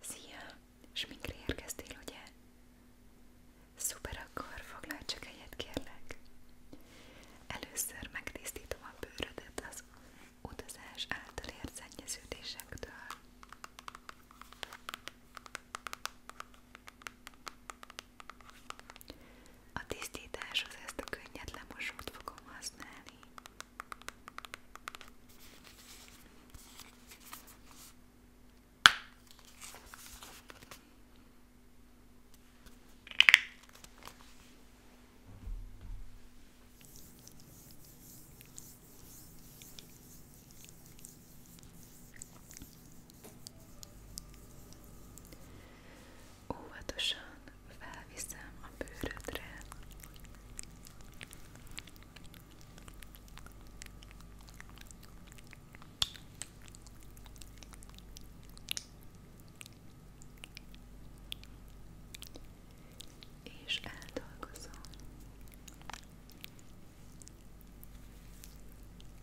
Szia! Sminkre érkeztél, ugye? Szuper, akkor foglalj csak helyet, kérlek. Először megtisztítom a bőrödet az utazás által ért szennyeződésektől. A tisztításhoz ezt a könnyed lemosót fogom használni. Óvatosan felviszem a bőrödre. És eldolgozom.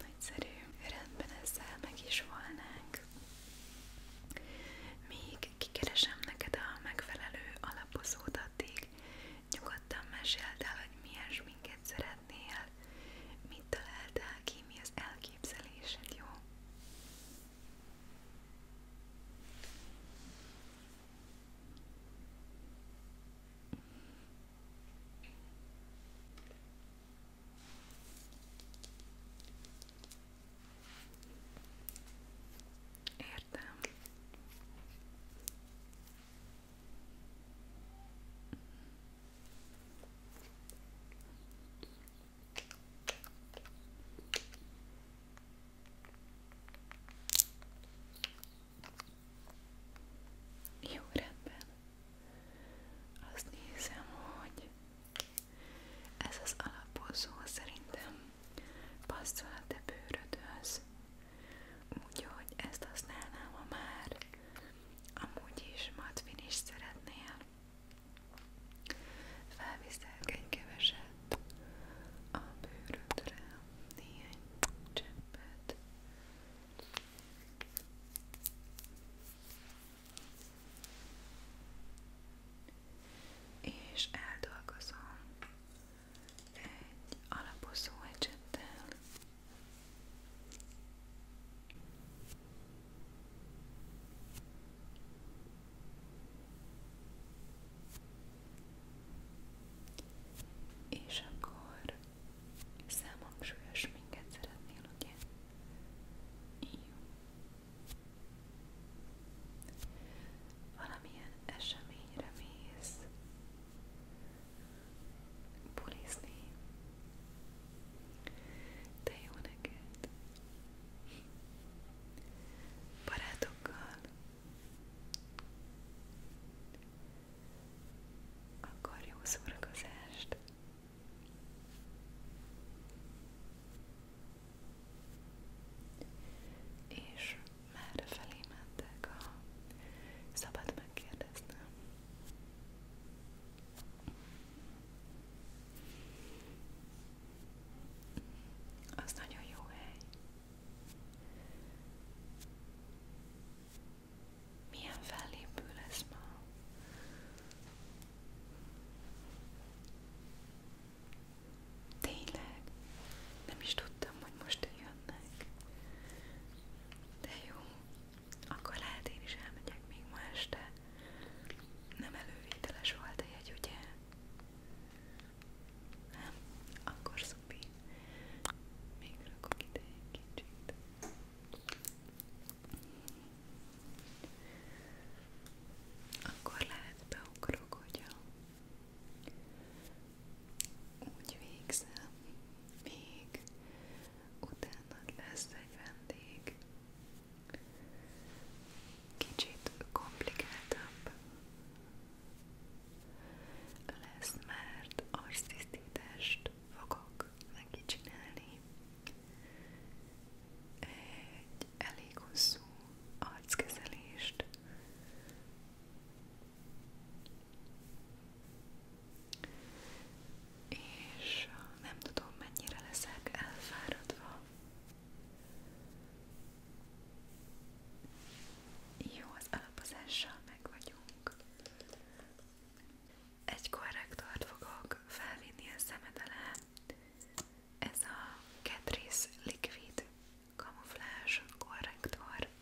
Nagyszerű, rendben ezzel meg is volnánk. Még kikeresem neked a megfelelő alapozót nyugodtan meséld hogy milyen sminket szeretnél ezeknél mit találtál ki, mi az elképzelésed, jó? Értem. Jó rendben. Azt nézem, hogy ez az alapozó szerintem passzol a te bőrödhöz úgyhogy ezt használnám, ha már amúgy is matvin is szeretnél. Felviszek egy keveset a bőrödre, néhány cseppet. És eldolgozom egy alapozó ecsettel. És akkor számhangsúlyos minket szeretnél, ugye? Jó. Valamilyen eseményre mész, bulizni. De jó neked. Barátokkal. Akkor jó szórakozást. És merre felé mentek, ha szabad megkérdeznem. Az nagyon jó hely. Milyen fellépő lesz ma? Tényleg? Nem is tudtam, hogy most jönnek. De jó, akkor lehet én is elmegyek még ma este. Nem elővételes volt a jegy, ugye? Nem? Akkor szupi. Még rakok ide egy kicsit. Akkor lehet beugrok, hogyha úgy végzem még utána lesz egy vendég. Kicsit komplikáltabb lesz, mert arctisztítást fogok neki csinálni. Egy elég hosszú arckezelést, és nem tudom, mennyire leszek elfáradva. Jó, az alapozással meg vagyunk. Egy korrektort fogok felvinni a szemed alá. Ez a Catrice Liquid Camouflage korrektor.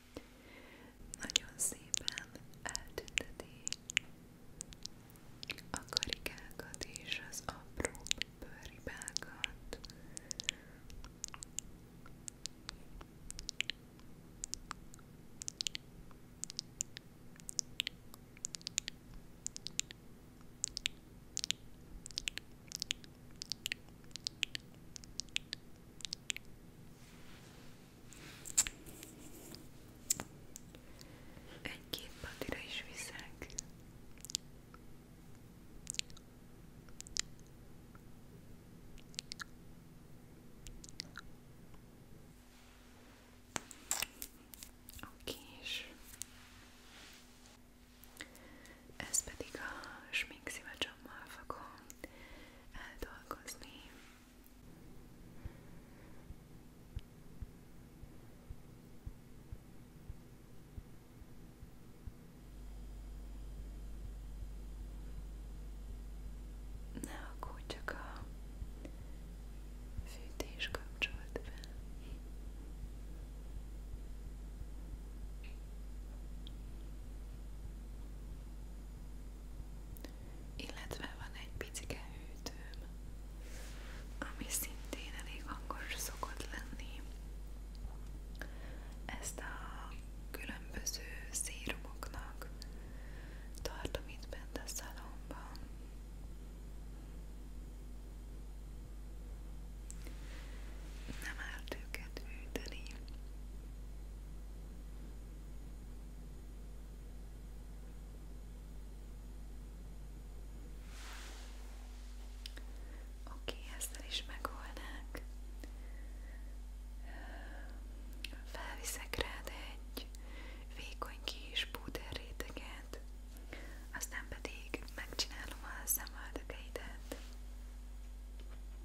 Nagyon szépen eltünteti a karikákat és az apró bőribákat. Egy-két patira is viszek. Oké, és ez pedig a smink fogom eldolgozni. Ne aggódj, csak a fűtés kapcsolt be. Illetve van egy picike hűtőm, ami szintén elég hangos szokott lenni. Ezt a különböző szérumoknak tartom itt bent a szalomban. Nem árt őket hűteni. Oké, okay, ezzel is megoldnánk. Felviszek rád egy vékony kis púder réteget, aztán pedig megcsinálom a szemöldökeidet.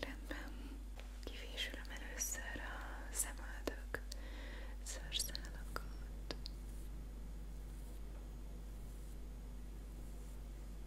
Rendben, kivésülöm először a szemöldök szőrszálakat.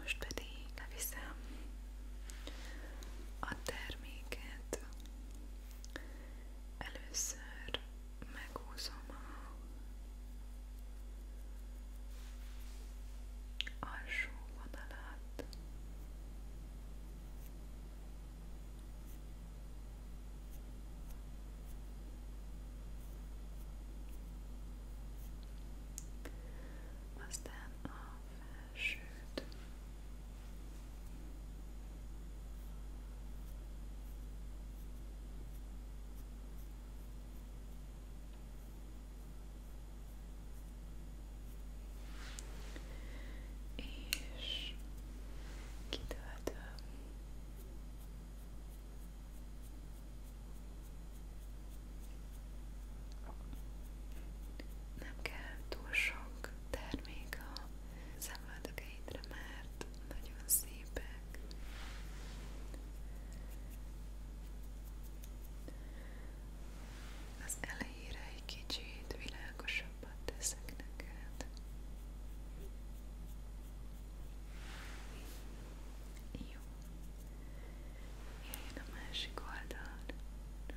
Most pedig leviszem a terméket. Először megúszom a alsó vonalat aztán a felsőt és kitöltöm. Nem kell túl sok termék a szemöldökeidre, mert nagyon szépek. Az elejére egy kicsit világosabbat teszek neked. Jó. Jöjjön a másik oldal. Jó.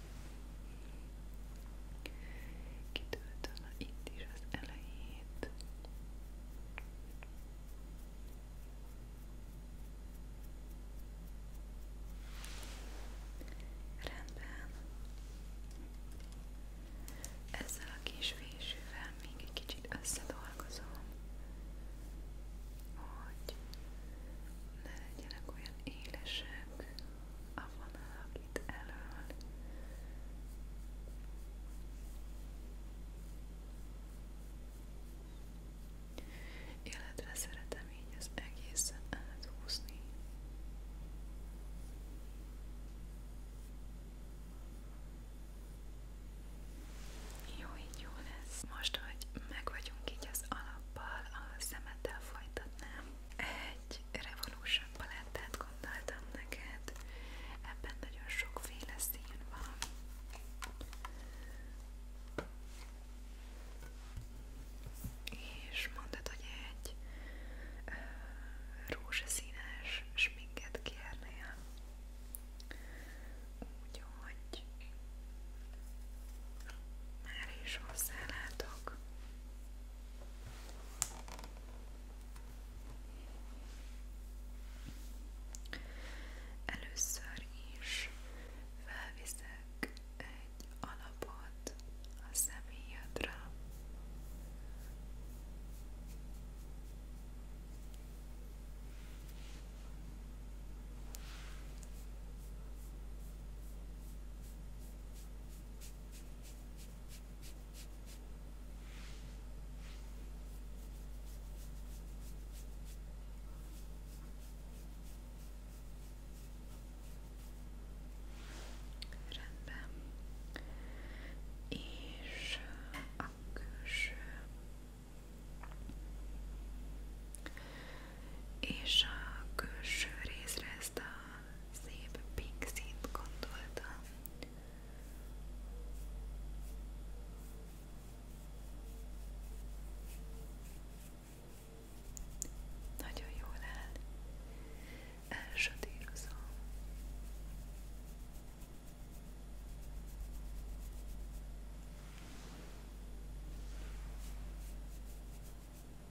Kitöltöm itt is az elejét. Rendben. Ezzel a kis fésűvel még egy kicsit összedolgozom, hogy ne legyenek olyan élesek a vonalak itt elől. Illetve szeretem így az egészen áthúzni. Jó, így jó lesz. Most, hogy meg vagyunk így az alappal, a szemettel folytatnám egy Revolution palettát gondoltam neked, ebben nagyon sokféle szín van. És mondtad, hogy egy ö, rózsaszínes sminket kérnél. Úgyhogy már is hozzálátok Először is felviszek egy alapot a személyedre. És uh, a és a külső részre ezt a szép pink színt gondoltam. Nagyon jól áll. Elsatírozom.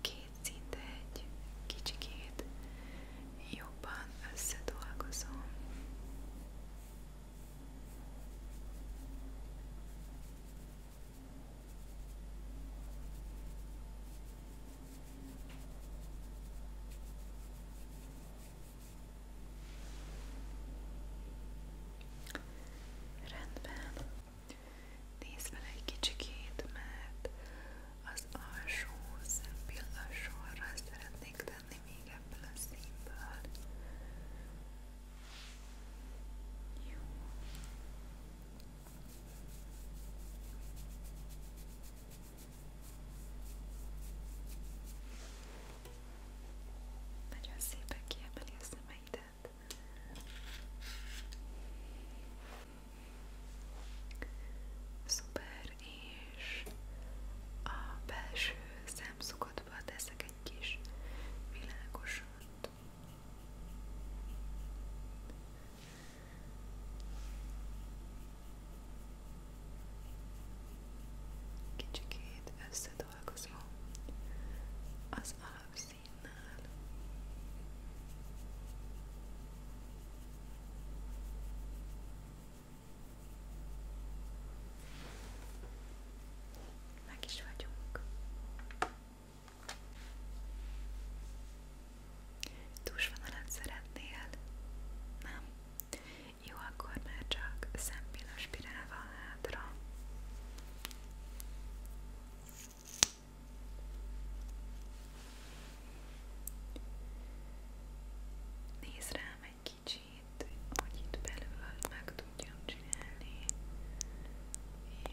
Két szinte egy kicsikét jobban összedolgozom. Rendben. Nézd fel egy kicsikét, mert az alsó szempillassorra szeretnék tenni még ebből a színből. Jó. Nagyon szépen kiemeli a szemeidet lehet. és a belső szemszukatba teszek egy kis világosat. Kicsikét összedolgozom az alapszín színnel. Meg is vagyunk. Túlsvonalat szeretnél? Nem? Jó, akkor már csak szempilla spirálval hátra. Nézd rám egy kicsit, hogy itt belül meg tudjam csinálni.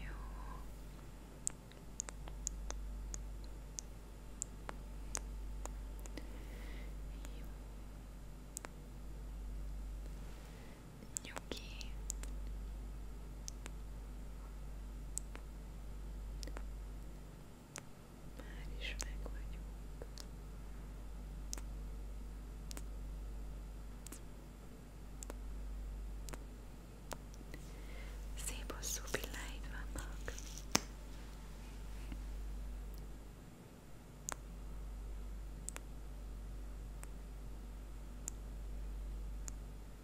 Jó. Jó nyugi már is meg vagyunk szép hosszú pilláid vannak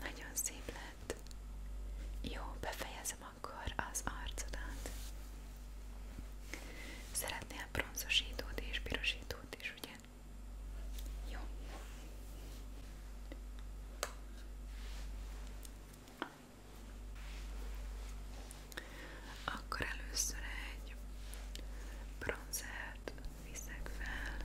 Nagyon szép lett. Jó, befejezem akkor az arcodat. Szeretnél bronzosítót és pirosítót is, ugye? Jó. Akkor először egy bronzert viszek fel.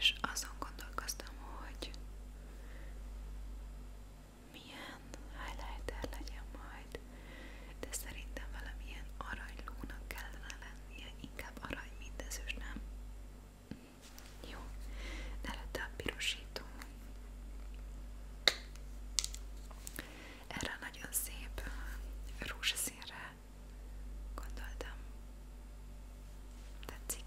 És azon gondolkoztam, hogy milyen highlighter legyen majd, de szerintem valamilyen aranylónak kellene lennie, inkább arany, mint ezős, nem? Jó, de előtte a pirosító. Erre nagyon szép uh, rózsaszínre gondoltam. Tetszik.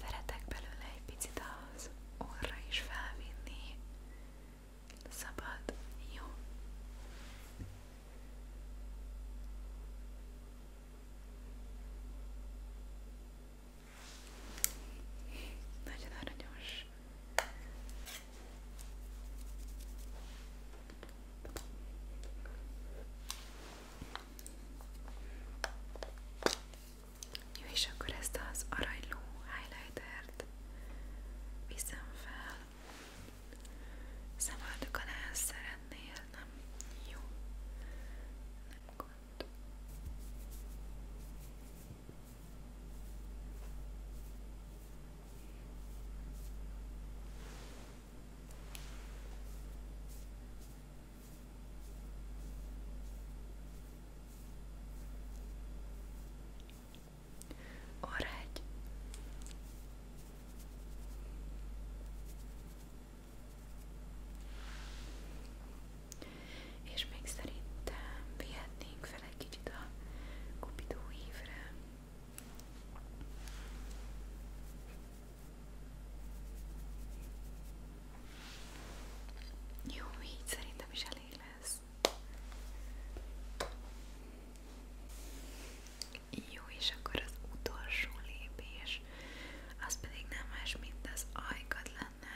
Szeretek belőle egy picit az orra is felvinni. Szabad, jó. Nagyon aranyos. Jó, és akkor ezt az aranyló highlightert viszem fel. Szemöldök alá szeretnél, nem? Jó. Nem gond. Orrágy. És még szerintem vihetnénk fel egy kicsit a kupidó évre. Jó, így szerintem is elég lesz. Jó, és akkor az utolsó lépés, az pedig nem más, mint az ajkad lenne.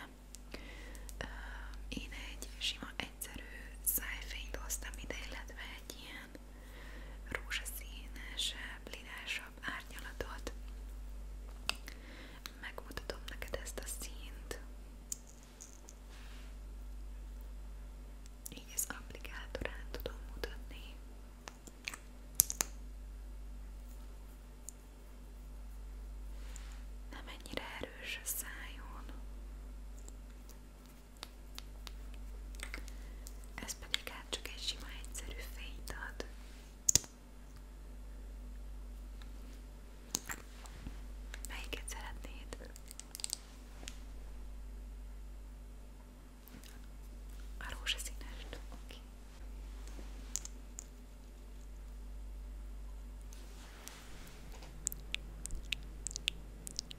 Én egy sima, egyszerű szájfényt hoztam ide, illetve egy ilyen rózsaszínesebb, lirásabb árnyalatot. Megmutatom neked ezt a színt. Így az applikátorán tudom mutatni. Nem ennyire erős a szájon. Ez pedig hát csak egy sima egyszerű fényt ad. Melyiket szeretnéd? A rózsaszínest? Oké. Okay.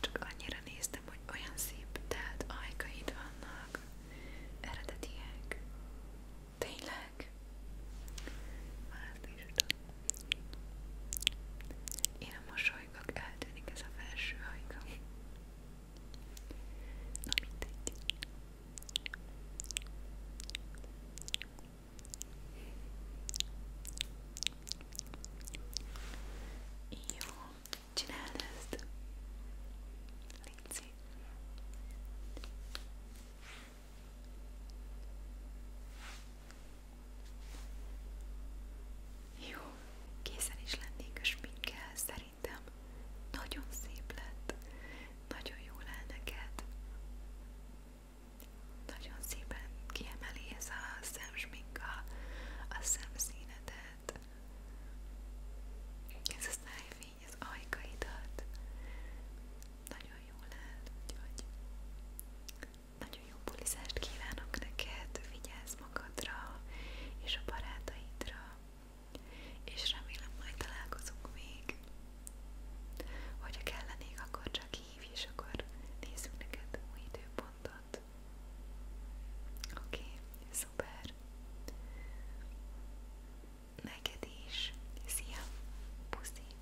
Csak annyira néztem, hogy olyan szép telt ajkaid vannak, eredetiek. Tényleg? Már is Én a mosolygok, eltűnik ez a felső ajka. Na mindegy. Jó. Csináld ezt. Léci. Jó, készen is lennék a sminkkel, szerintem nagyon szép lett, nagyon jól áll neked. Nagyon szépen kiemeli ez a szemsmink mink a, a szemszínedet, ez a szájfény az ajkaidat, nagyon jól áll, úgyhogy nagyon jó bulizást kívánok neked, vigyázz magadra és a barátaidra, és remélem majd találkozunk még. Hogyha kellenék, akkor csak hívj, és akkor nézzük neked új időpontot alatt. Oké, okay, szuper. Neked is. Szia, puszi.